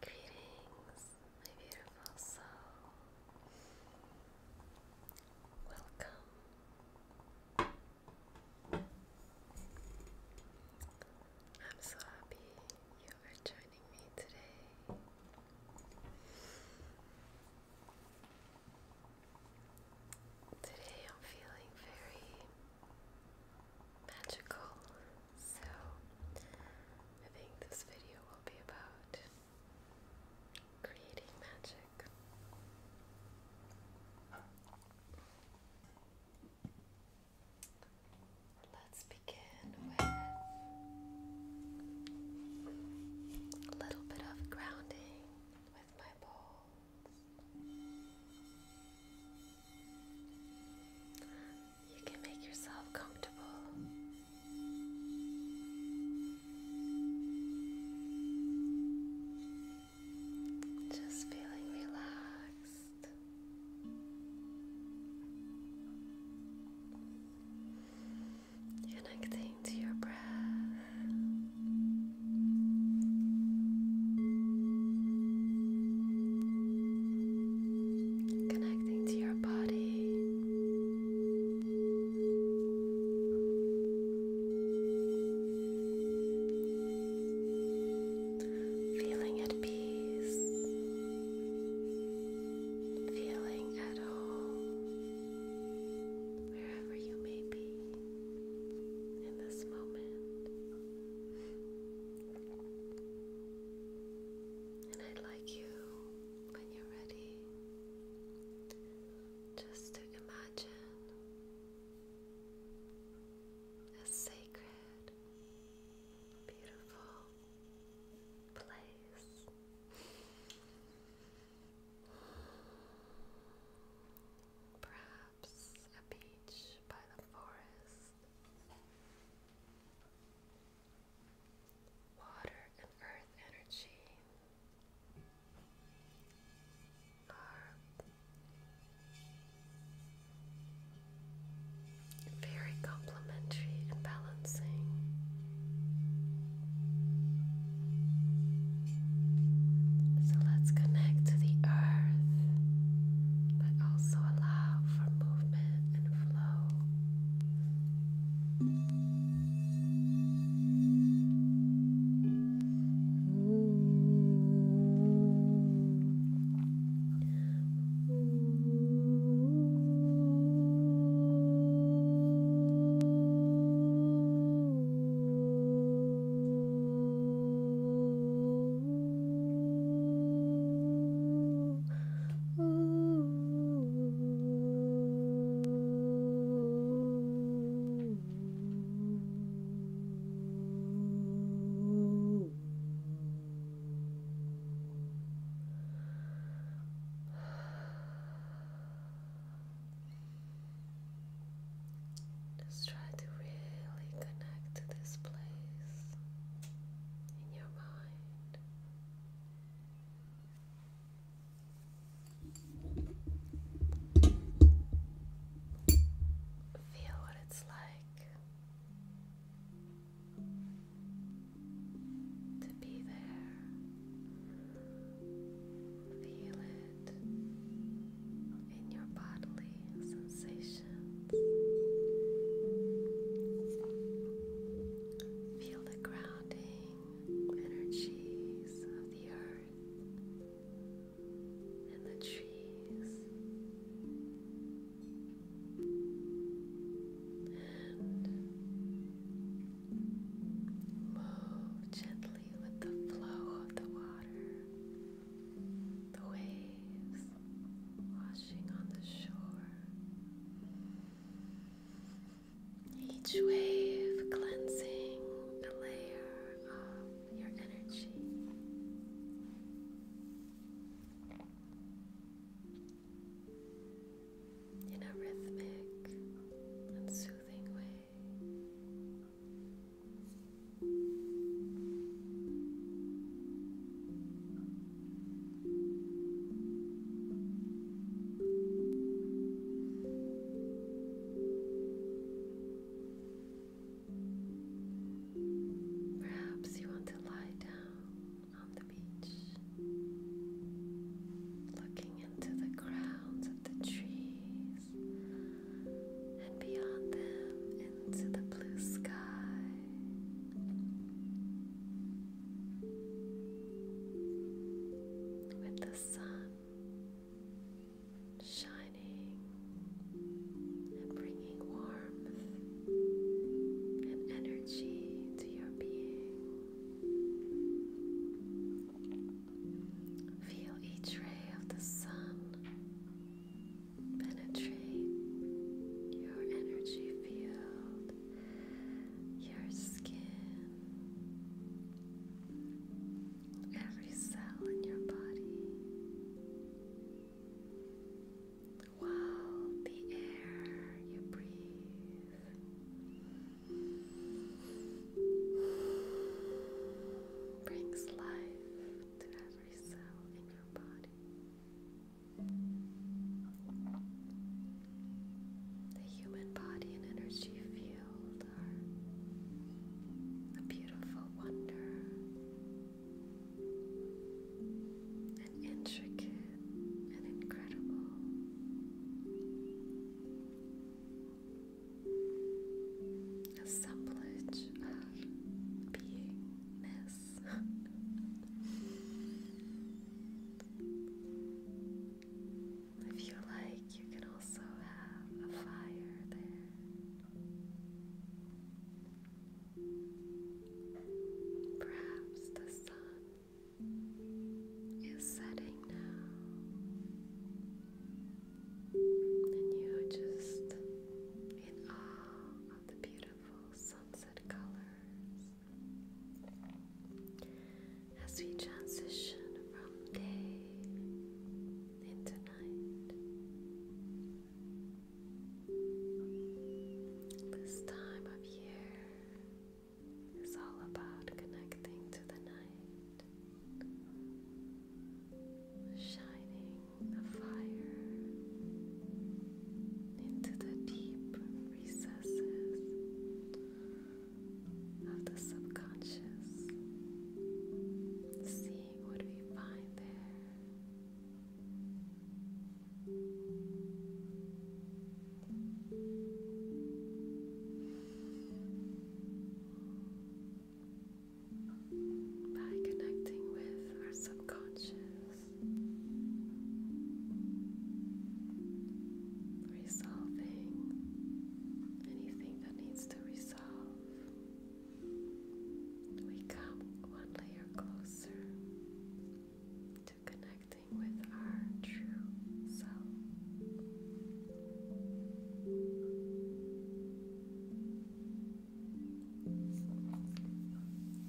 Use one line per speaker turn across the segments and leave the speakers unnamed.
Greetings, my beautiful soul. Welcome. I'm so happy you are joining me today. Today I'm feeling very magical. So, I think this video will be about creating magic. Let's begin with a little bit of grounding with my bowls. You can make yourself comfortable. Just feeling relaxed. Connecting to your breath connecting to your body. Feeling at peace, feeling at home, wherever you may be in this moment. And I'd like you, when you're ready, just to imagine a sacred, beautiful place. Perhaps a beach by the forest, Water and earth energy are very complementary and balancing. So let's connect to the earth, but also allow for movement and flow. Ooh, ooh, just try to really connect to this place in your mind. Feel what it's like to be there. Feel it in your bodily sensations. Feel the grounding energies of the earth and the trees. And move gently with the flow of the water the waves washing on the shore. Each wave cleansing a layer of your energy. In a rhythmic and soothing way. Perhaps you want to lie down on the beach, looking into the crowns of the trees and beyond them into the blue sky. With the sun shining and bringing warmth and energy to your being. Feel each ray of the sun penetrate your energy field, your skin, every cell in your body, while the air you breathe brings life to everything. The human body and energy field are a beautiful wonder, an intricate and incredible assemblage of beingness. if you like, you can also have a fire there. Perhaps the sun is setting now and you just in awe of the beautiful sunset colors as we transition from day into night. This time of year is all about connecting to the night, shining the fire into the deep recesses of the subconscious, seeing what we find there by connecting with our subconscious, resolving anything that needs to resolve. We come one layer closer to connecting with our true self.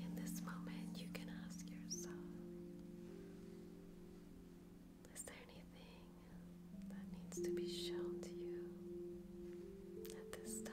In this moment, you can ask yourself Is there anything that needs to be shown to you at this time?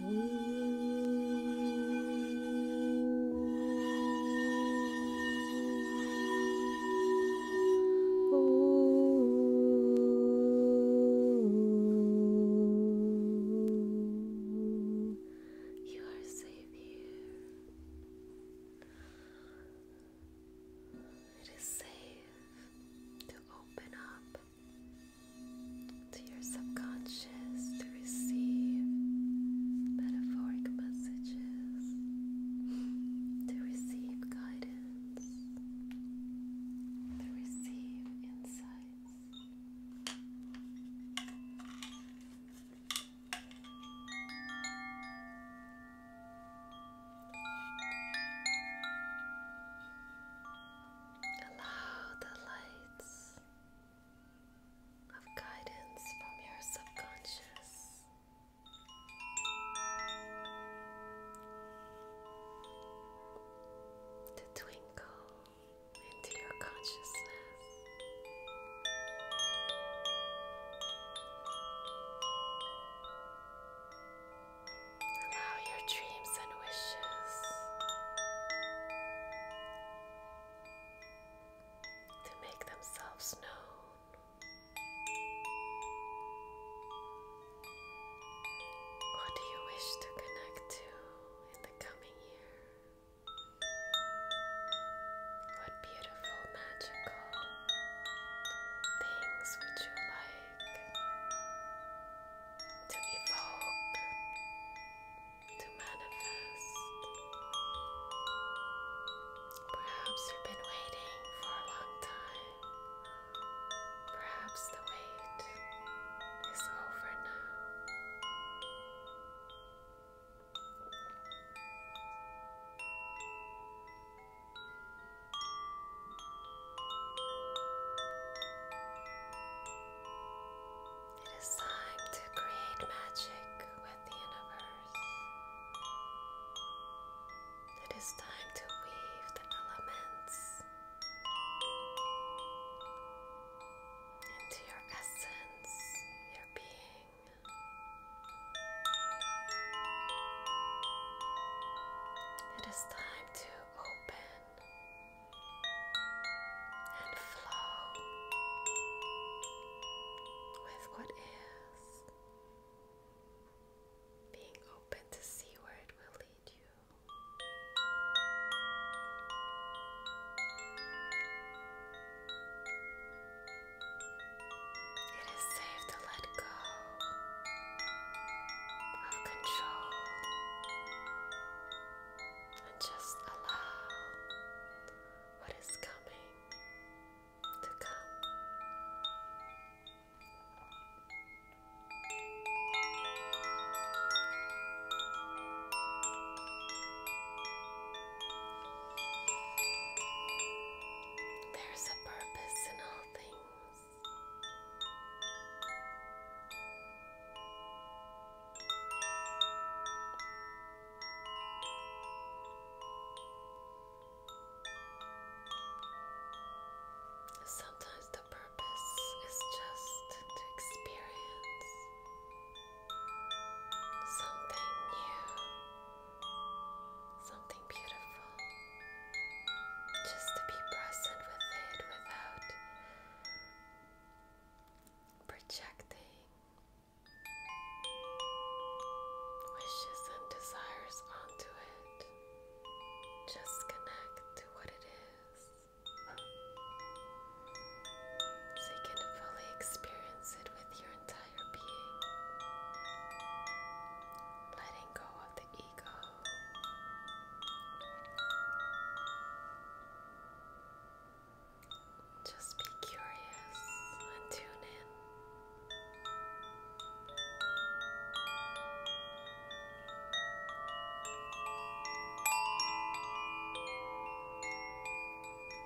Oh, you are safe here. It is safe to open up to your subconscious to receive metaphoric messages, to receive guidance, to receive insights. Allow the lights of guidance from your subconscious to twinkle into your consciousness. Allow your dreams and wishes to make themselves known. What do you wish to connect to in the coming year? What beautiful, magical things would you like to evoke, to manifest? Perhaps you've been waiting for a long time. Perhaps the wait is over now. It is time to create magic with the universe. It is time to weave the elements into your essence, your being. It is time to open and flow with what is, being open to see where it will lead you. It is safe to let go of control and just allow what is coming to come. There's a purpose in all things. Sometimes the purpose is just to experience something new, something beautiful. Just to be present with it without projecting wishes and desires onto it. Just connect to what it is so you can fully experience it with your entire being, letting go of the ego. Just be curious and tune in. As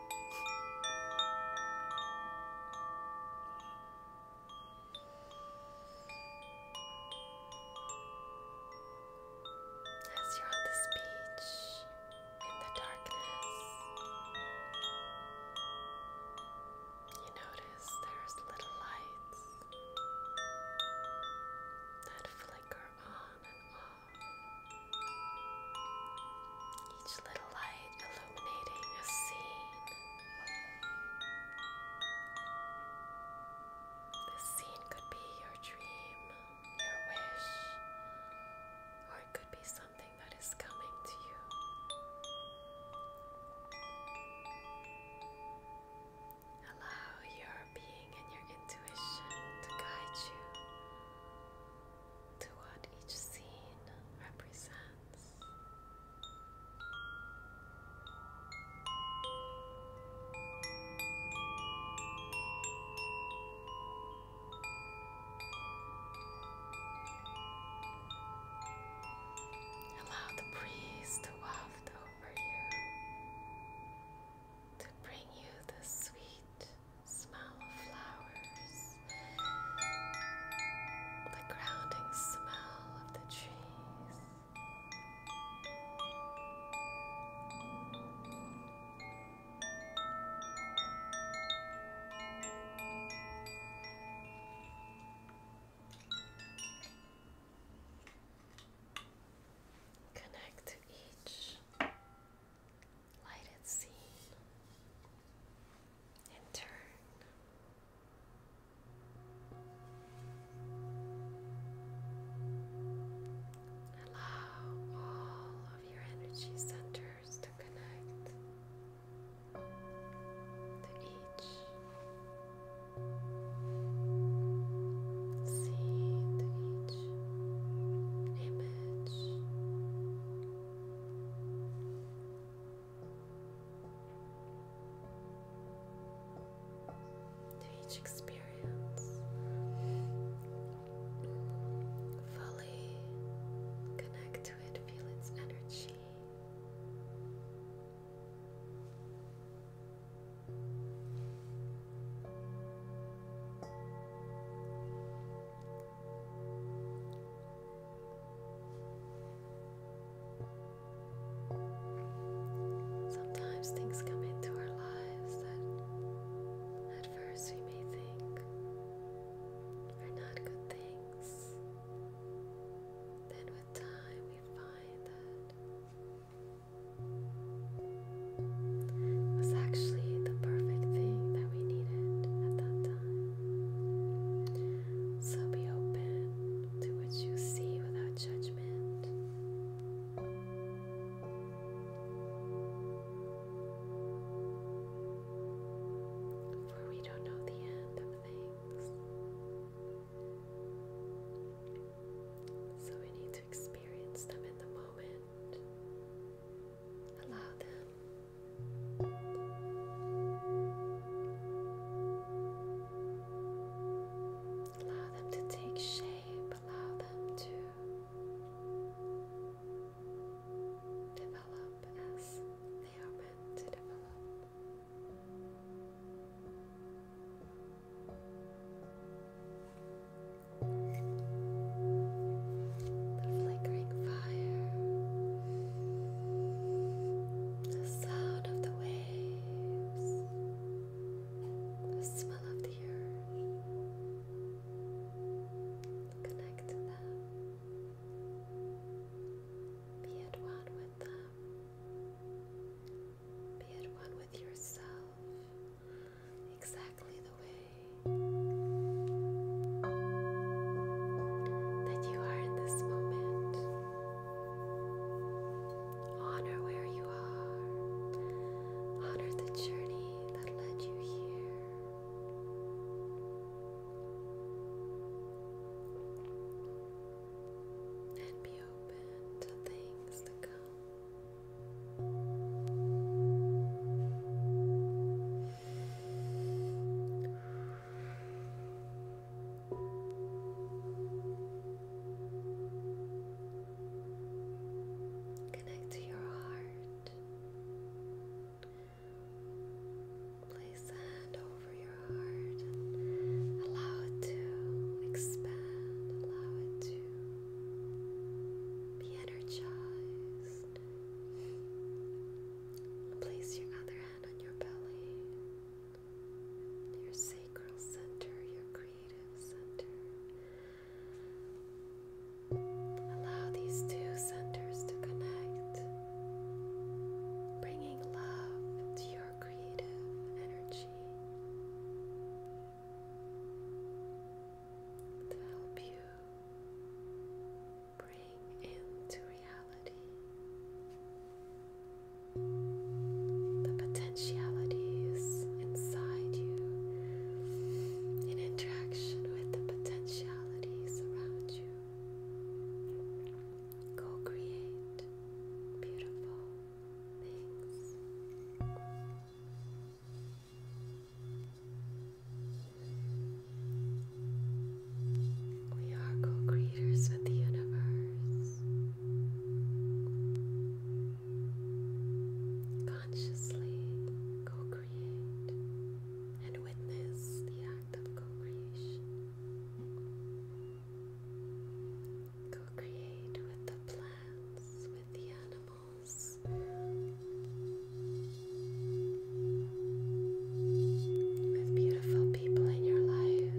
you're on this beach in the darkness, you notice there's little lights that flicker on and off. Each little light illuminating a scene. This scene could be your dream, your wish, or it could be something that is coming to you. Allow your being and your intuition to guide you to what each scene represents. Allow the breeze to waft over you, to bring you the sweet smell of flowers, the grounding smell of the trees. Connect to each lighted scene and turn. Allow all of your energy centers to connect to each scene, to each image. To each experience, fully connect to it, feel its energy. Sometimes things come into our lives that at first we may think are not good things. Then, with time, we find that it was actually the perfect thing that we needed at that time. So be open to what you see without judgment. For we don't know the end of things. So we need to experience them in the moment. Allow them. Allow them to take shape, allow them to develop as they are meant to develop the flickering fire, the sound of the waves, the smell of the earth. Connect to them, be at one with them, be at one with yourself exactly the way that you are in this moment. Honor where you are, honor the journey that led you here. And be open to things to come. Connect to your heart. Place a hand over your heart allow it to expand, allow it to re Place your other hand on your belly, your sacral center, your creative center. Allow these two centers to connect, bringing love to your creative energy to help you bring into reality the potentialities inside you in interaction with the potentialities around you. Go create beautiful things. We are co creators with the universe. Consciously co create and witness the act of co creation. Co create with the plants, with the animals. With beautiful people in your life.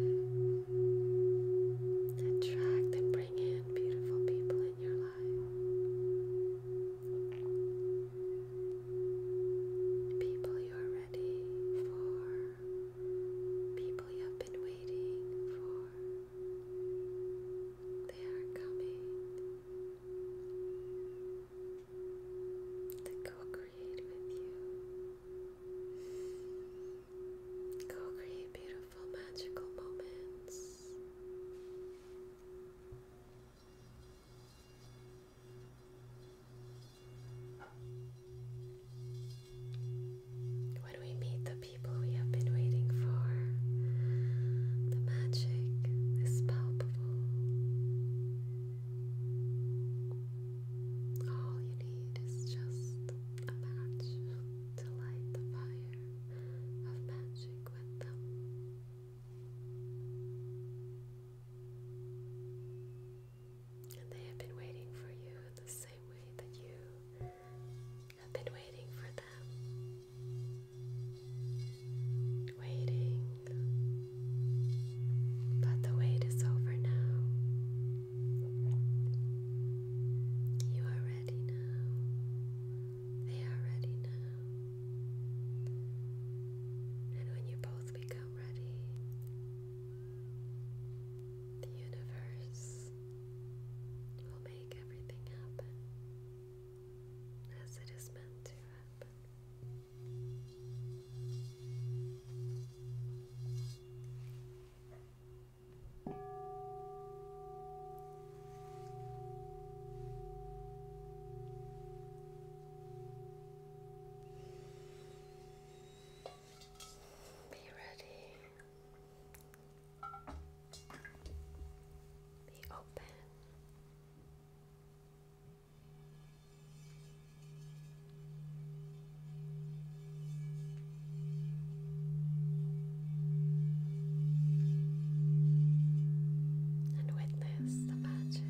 Attract and bring in beautiful people in your life. People you are ready for. People you have been waiting for. They are coming to co-create with you. Co-create beautiful magical moments when we meet the people we have been waiting for, the magic is palpable. All you need is just a match to light the fire of magic with them. And they have been waiting for you in the same way that you I've been waiting for them. Waiting. But the wait is over now. You are ready now. They are ready now. And when you both become ready, the universe will make make everything happen as it is meant to happen. Be ready be open. And witness the magic.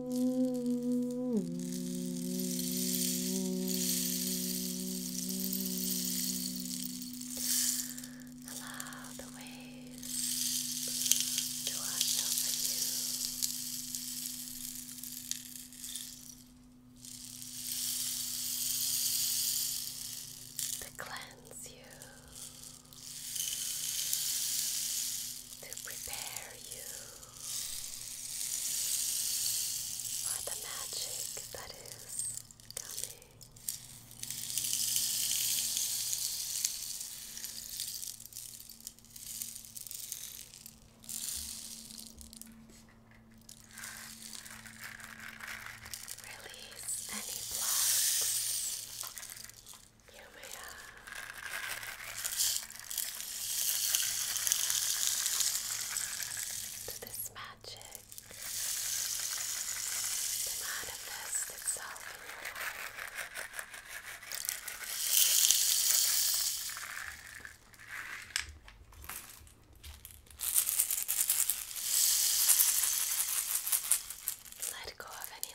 Allow the waves to wash over you. To cleanse you, to prepare you for the magic that is coming. Release any blocks. You may have this magic to manifest itself in your life. Let go of any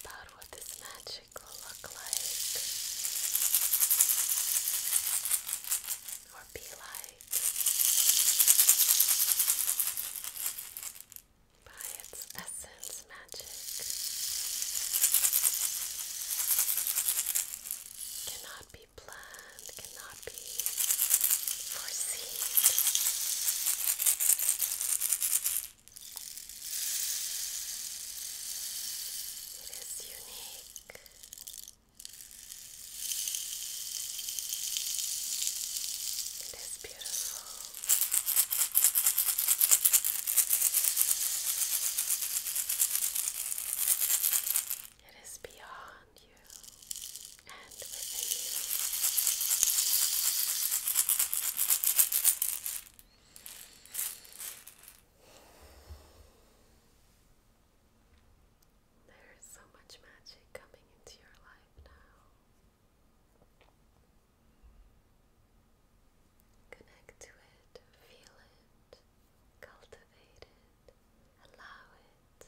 about what this magic will look like or be like by its essence magic cannot be planned, cannot be foreseen. It is unique. It is beautiful. It is beyond you. There is so much magic coming into your life now. Connect to it, feel it, cultivate it, allow it,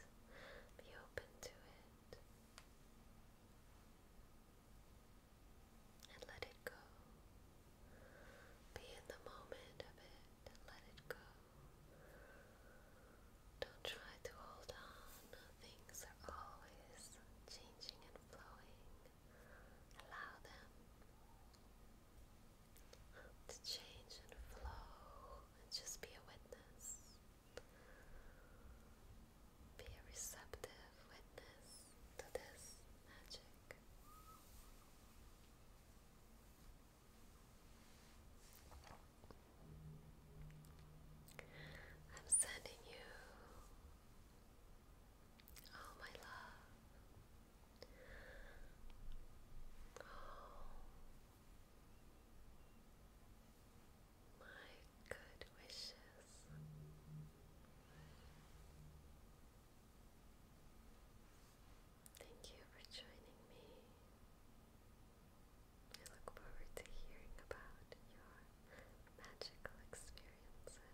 be open to it and let it go. Be in the moment of it and let it go. Don't try to hold on. Things are always changing and flowing. Allow them to change and flow and just be a witness. Be a receptive witness to this magic. I'm sending you all my love my good wishes. Thank you for joining me. I look forward to hearing about your magical experiences.